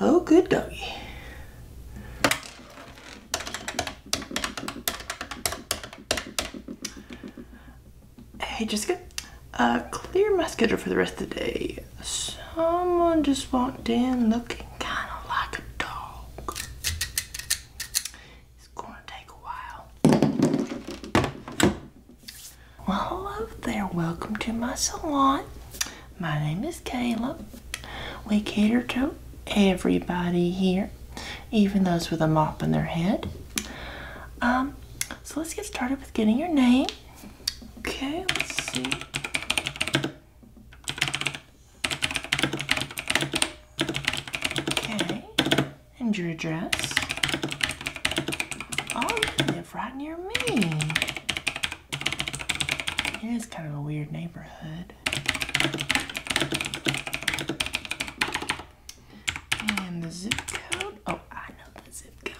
Oh, good doggy. Hey, Jessica. Uh, clear my schedule for the rest of the day. Someone just walked in looking kind of like a dog. It's gonna take a while. Well, hello there. Welcome to my salon. My name is Caleb. We cater to everybody here, even those with a mop in their head. Um, so let's get started with getting your name. Okay, let's see. Okay and your address. Oh, you live right near me. It is kind of a weird neighborhood. And the zip code. Oh, I know the zip code.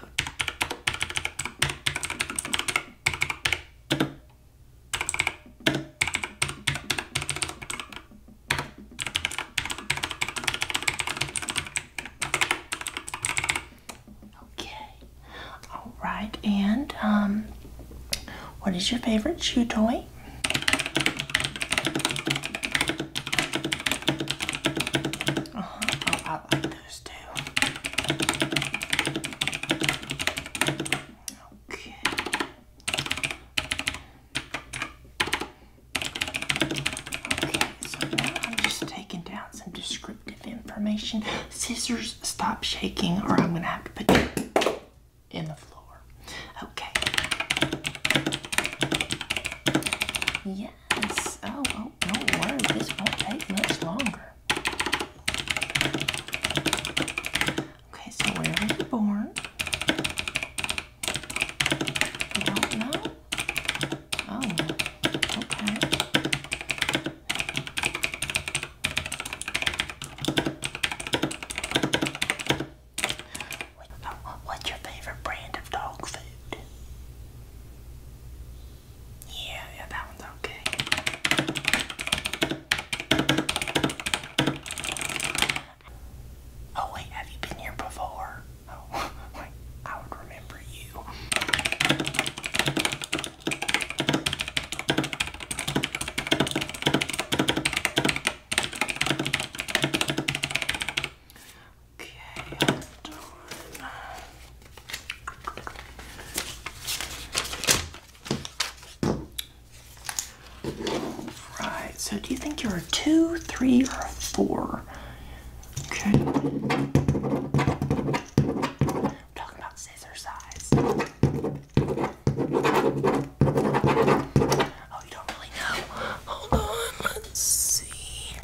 Okay. All right. And um, what is your favorite shoe toy? Uh-huh. Oh, I like those too. Okay. Okay, so now I'm just taking down some descriptive information. Scissors, stop shaking, or I'm going to have to put you in the floor. Okay. Yes. Oh, oh, don't worry. This won't take much longer. Okay, so where were you born? Oh, What's your favorite brand of dog food? Yeah, yeah, that one's okay. Oh wait, have you been here before? Oh, I would remember you. Okay, Right, so do you think you're a two, three, or a four? Okay. talking about scissor size. Oh, you don't really know. Hold on, let's see.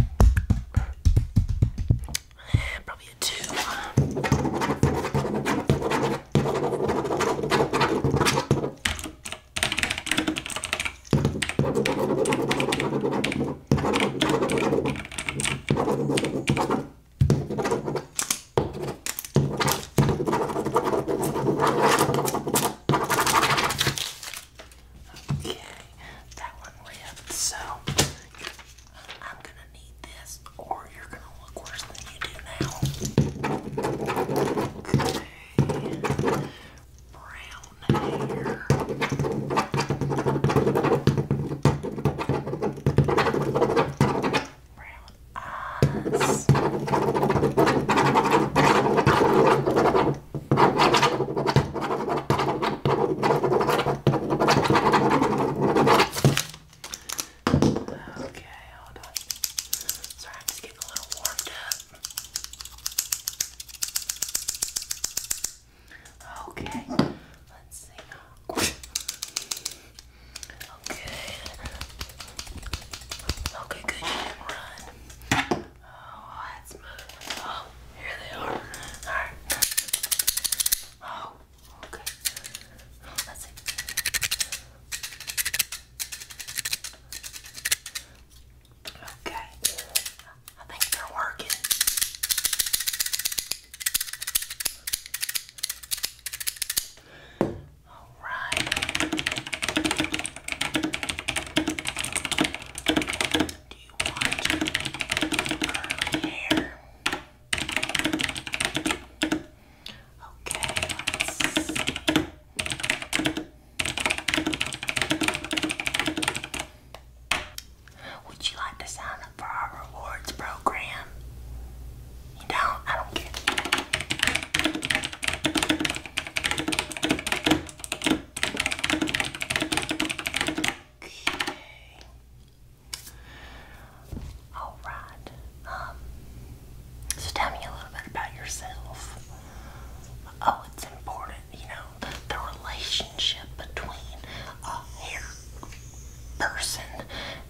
Probably a two. Okay, that one lived, so I'm gonna need this, or you're gonna look worse than you do now. Okay brown hair. Brown eyes. Okay, hold on. Sorry, i just getting a little warmed up. Okay, let's see. Okay. Okay, good. You can run. Oh, that's moving. Oh, here they are. Alright. Oh, okay. Let's see. Okay. I think they're working. All right. Do you want curly hair? Okay, would you like to sign up for our rewards program? You don't? I don't care. Okay. All right. Um. So tell me a little bit about yourself. Oh, it's important, you know, about the relationship between a hair person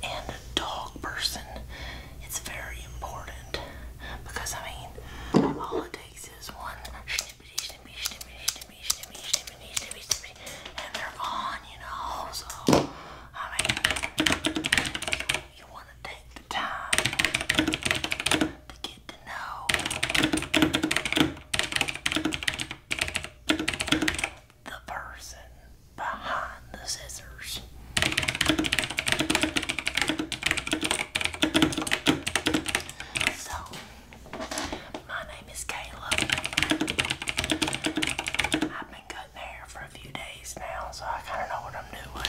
and a dog person. It's very important because I mean, all it takes is one snippety, snippety, snippety, snippety, snippety, snippety, snippety, snippety, and they're on, you know. So, I mean, you, you want to take the time to the person behind the scissors. So, my name is Kayla. I've been cutting hair for a few days now, so I kind of know what I'm doing.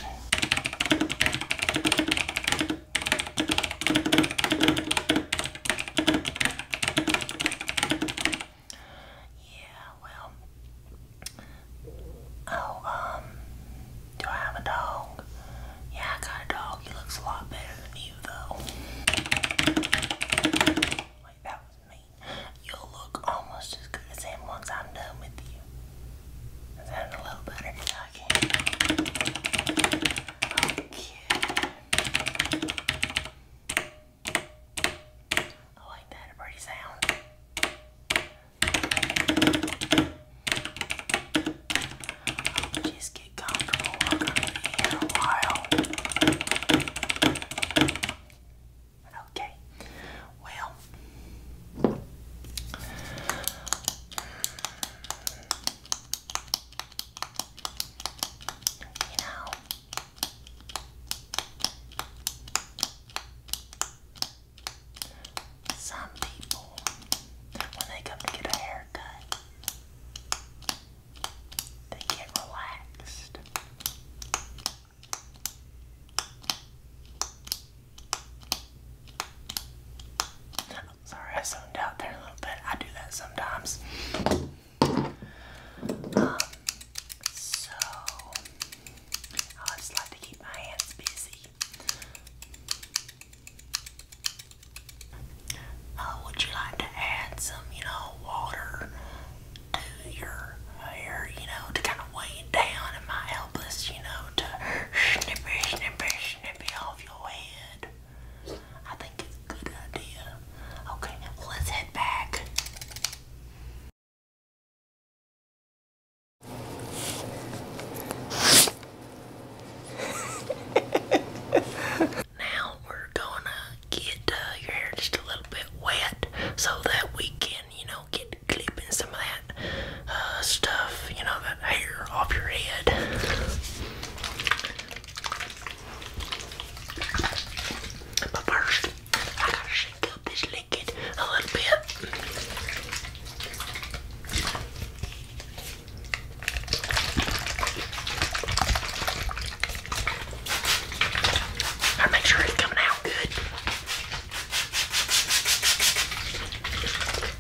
Yeah, well. Oh, um, do I have a dog? Yeah, I got a dog. He looks a lot better than you, though. Wait, that was me. You'll look almost as good as him once I'm done with you. Is a little better? Okay. Okay. I like a pretty sound. just get comfortable. here a while. Okay. Well, you know, some people, when they come to get a haircut, they get relaxed. Sorry, I zoned out there a little bit. I do that sometimes. Um, so, I just like to keep my hands busy. Uh, would you like to add some, you know, water to your hair, you know, to kind of weigh it down? Am I helpless, you know, to snippy, snippy, snippy off your head? I think it's a good idea. Okay, let's head back. now we're gonna get uh, your hair just a little bit wet so that we can, you know, get clipping some of that uh, stuff, you know, that hair off your head. But first, I gotta shake up this liquid a little bit. I make sure it's coming out good.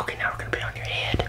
Okay, now we're gonna put it on your head.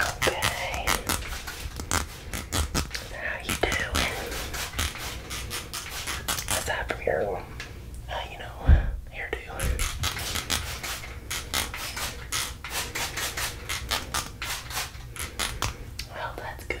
Okay. How you doing? Aside from your, you know, hairdo. Well, that's good.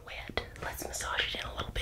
and wet. Let's massage it in a little bit.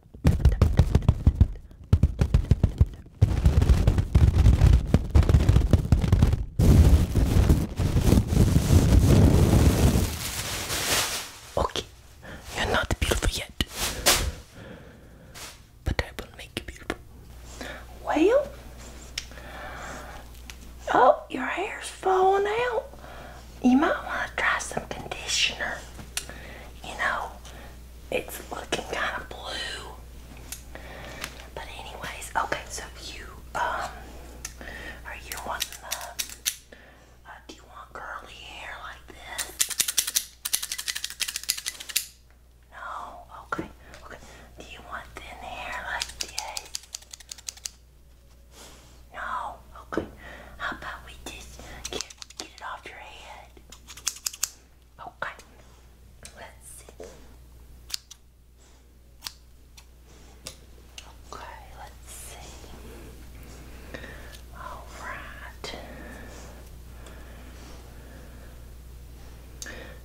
Okay, you're not beautiful yet, but I will make you beautiful. Well, oh, your hair's falling out. You might want to try some conditioner. You know, it's looking kind of blue. But anyways, okay, so you, um, are you wanting uh, do you want curly hair like this? No? Okay, okay. Do you want thin hair like this? No? Okay. How about we just get it off your head? good. Okay, let's see. Okay, let's see. All right.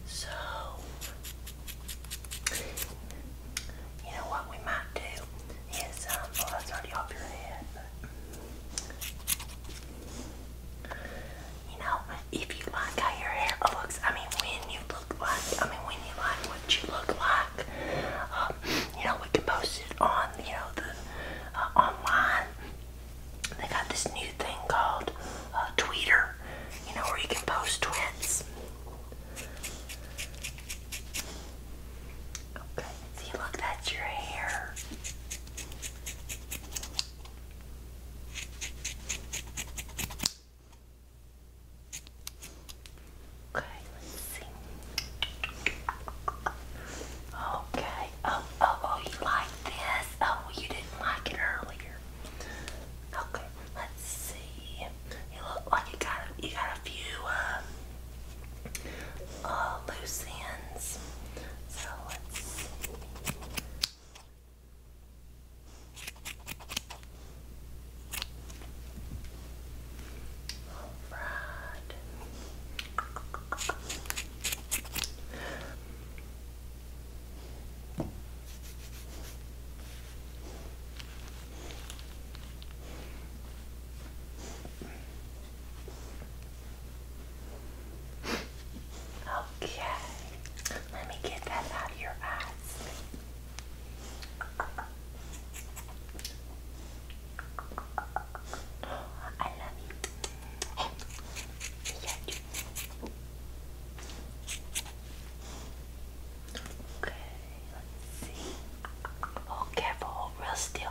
So, you know what we might do is, um, well, oh, that's already off your head. You know, if you like how your hair looks, I mean, when you look like, I mean, when you like what you look like, um, you know, we can post it on, you know, the uh, online. They got this new thing called uh, Twitter, you know, where you can post tweets. Okay, see, look, that's your hair. Okay, let's see. Okay. Oh, oh, oh, you like this? Oh, you didn't like it earlier. Okay, let's see. You look like you got a, you got a few um, all uh, loose ends. So let's see. All right. Okay, let me get that out of your eyes. I love you. Yeah, Okay, let oh, careful, oh, real still.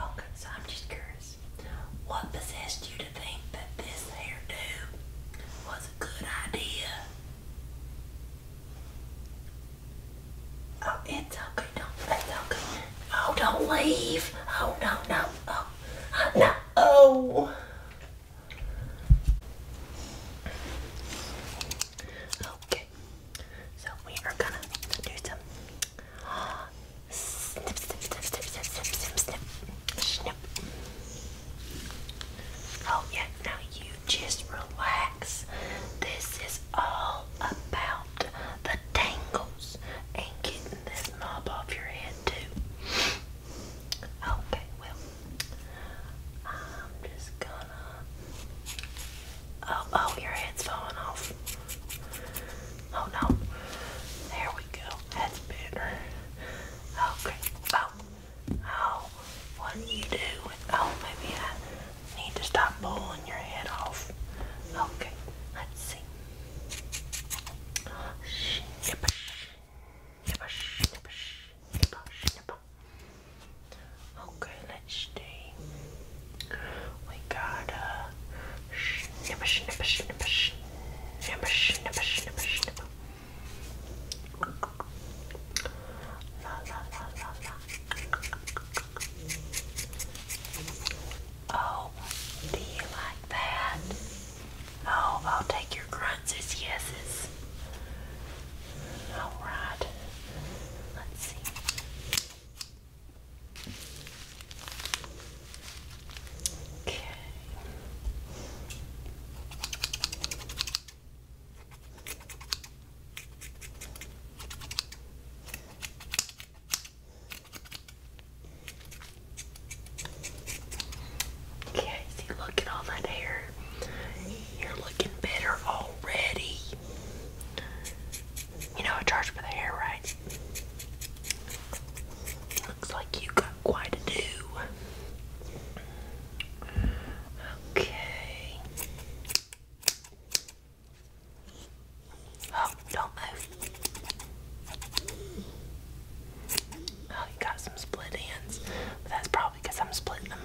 Oh, So I'm just curious. What possessed you to think that this hairdo was a good idea? Oh, it's okay. Don't. It's okay. Oh, don't leave. Oh, no, no. Oh, no. Oh. Okay. So we are gonna do some snip, snip, snip, snip, snip, snip, snip, snip. Oh yeah, now you just relax. This is all about the tangles and getting this knob off your head too. Okay, well, I'm just gonna. Oh, oh, your head's falling off. Oh no. There we go. That's better. Okay. Oh. Oh. What do you do? Oh, maybe I need to stop blowing your head off. Okay. Let's see. Okay, let's see. We got a uh, snipper, snipper, snipper, snipper, snipper, snipper, snipper. La la la la la. Oh, do you like that? Oh, I'll take your grunts as yeses. Alright. Let's see. Okay. Okay, see, look at all that hair. You're looking better already. You know, I charge for the hair, right? Looks like you got quite a do. Okay. Oh, don't move. Oh, you got some split ends. But that's probably because I'm splitting them.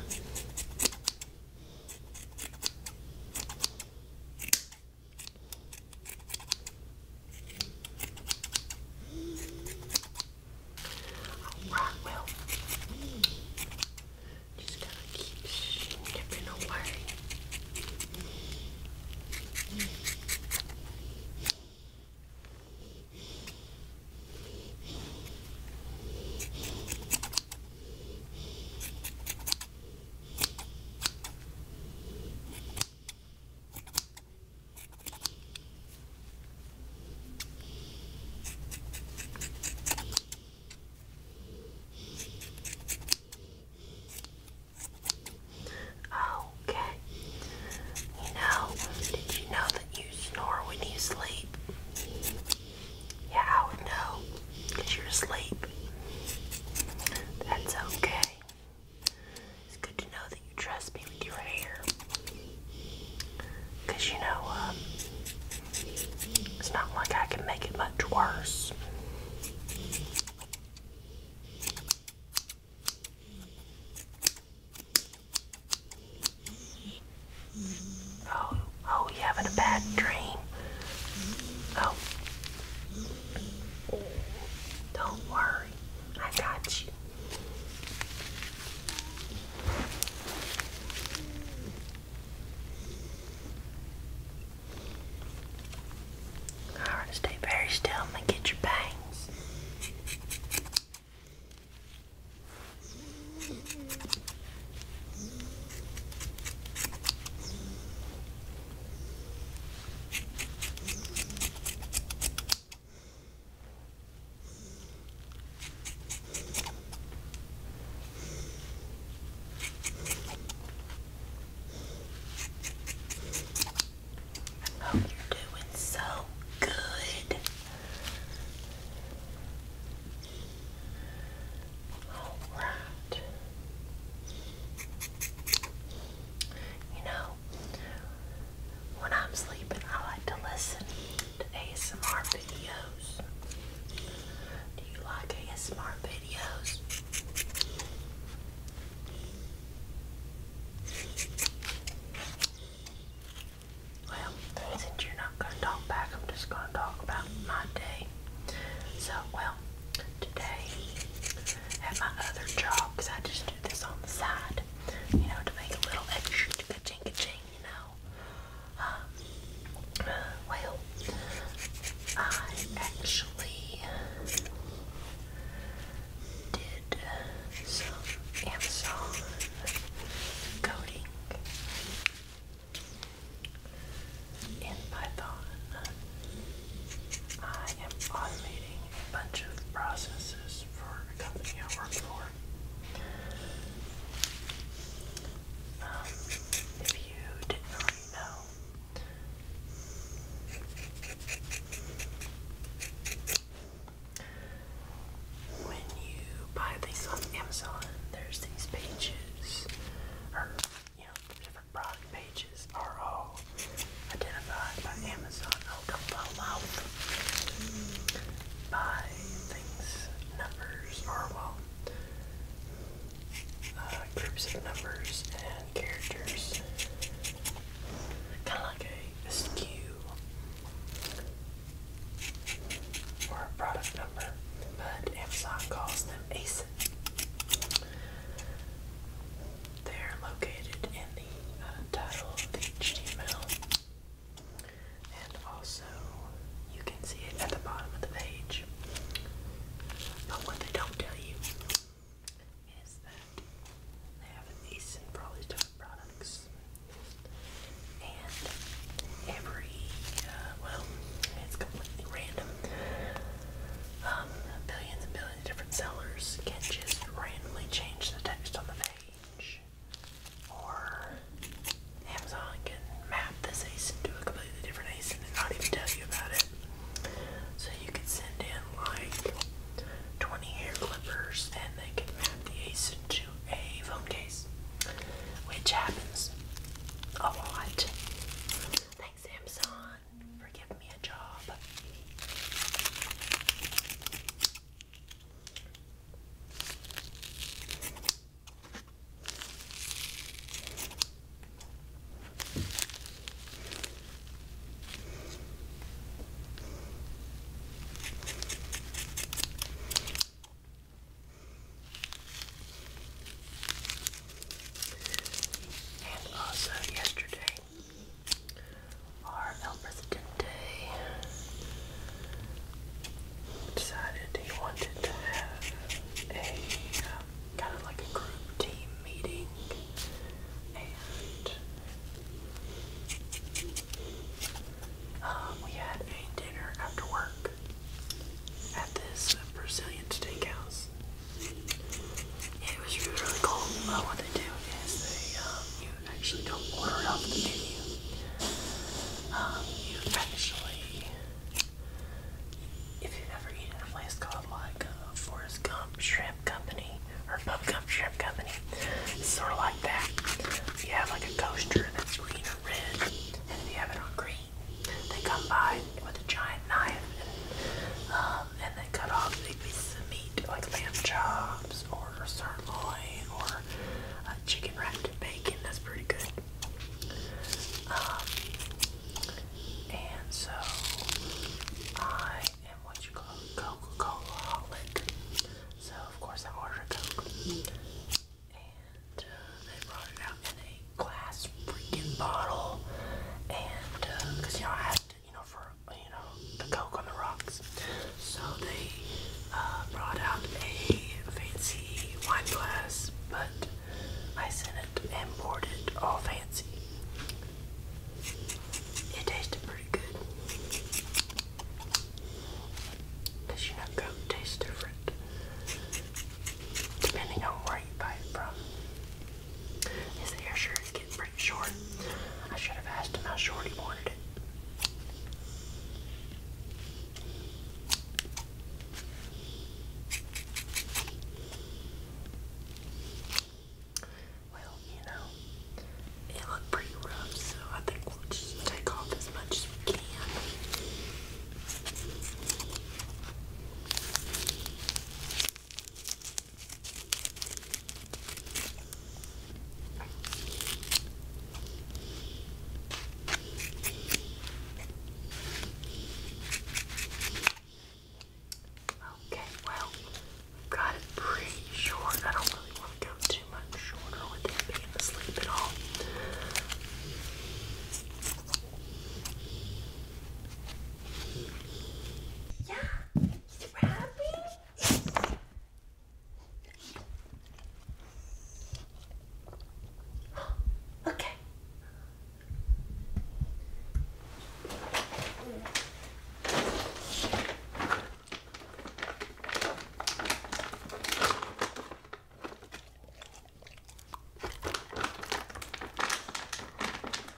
Alright, well, just gotta keep snipping away. Okay. You did you know that you snore when you sleep? Yeah, I would know. Because you're asleep. That's okay. It's good to know that you trust me with your hair. you know, um, it's not like I can make it much worse. Oh, oh, you having a bad dream? Oh, don't worry, I got you. Alright, stay very still. i get your bangs. Oh, you're doing so good. All right. You know, when I'm sleeping, I like to listen to ASMR videos. Do you like ASMR videos? Well, since you're not going to talk back, I'm just going to talk about my day. So, well, today at my other job because I just do this on the side, you know, to make a little extra ka-ching, ka-ching, you know. Um, well, I actually did some Amazon coding in Python I am automating a bunch of processes for a company I work for. Um, if you didn't know, when you buy things on Amazon, there's these pages, you know, different product pages are all identified by Amazon. Oh, By things, numbers, or well, uh, groups of numbers and characters. Kind of like a, SKU or a product number, but Amazon calls them a is. They're located in the title of the HTML, and also you can see it at the bottom of the page. But what they don't tell you is that they have a decent probably top products, and every uh, well, it's completely random. Um, billions and billions of different sellers can just randomly change the text on the page. Or Amazon can map this ASIN to a completely different ASIN and not even tell you about it. So you could send in like 20 hair clippers and they can map the ASIN to a phone case, which happens a lot. Thanks, Amazon on me a job. And also, yesterday our El decided he wanted to have a um, kind of like a group team meeting and um, we had a dinner after work at this Brazilian steakhouse it was really, really cool. Uh, what they do is they, um, you actually don't order it off the menu. Um, you actually, if you've ever eaten at a place called like uh, Forrest Gump Shrimp Company or Bub Gump Shrimp Company, sort of like that. You have like a coaster that's green or red, and if you have it on green, they come by with a giant knife and uh, and then cut off the pieces of meat like lamb chops or sirloin or uh, chicken wrapped in bacon. That's pretty good. Um, and so I am what you call Coca Cola So, of course, I ordered a Coke. And uh, they brought it out in a glass freaking bottle. And, because, uh, you don't have to you know, for you know the coke on the rocks. So they uh, brought out a fancy wine glass, but I sent it and poured it all fancy. It tasted pretty good. Cause you know coke tastes different depending on where you buy it from. His hair sure gets short. I should have asked him how short he wanted it. Well, you know, it looked pretty rough, so I think we'll just take off as much as we can. Okay, well, we've got it pretty short. I don't really want to go too much shorter with him being asleep at all. Yeah, Scrappy? okay.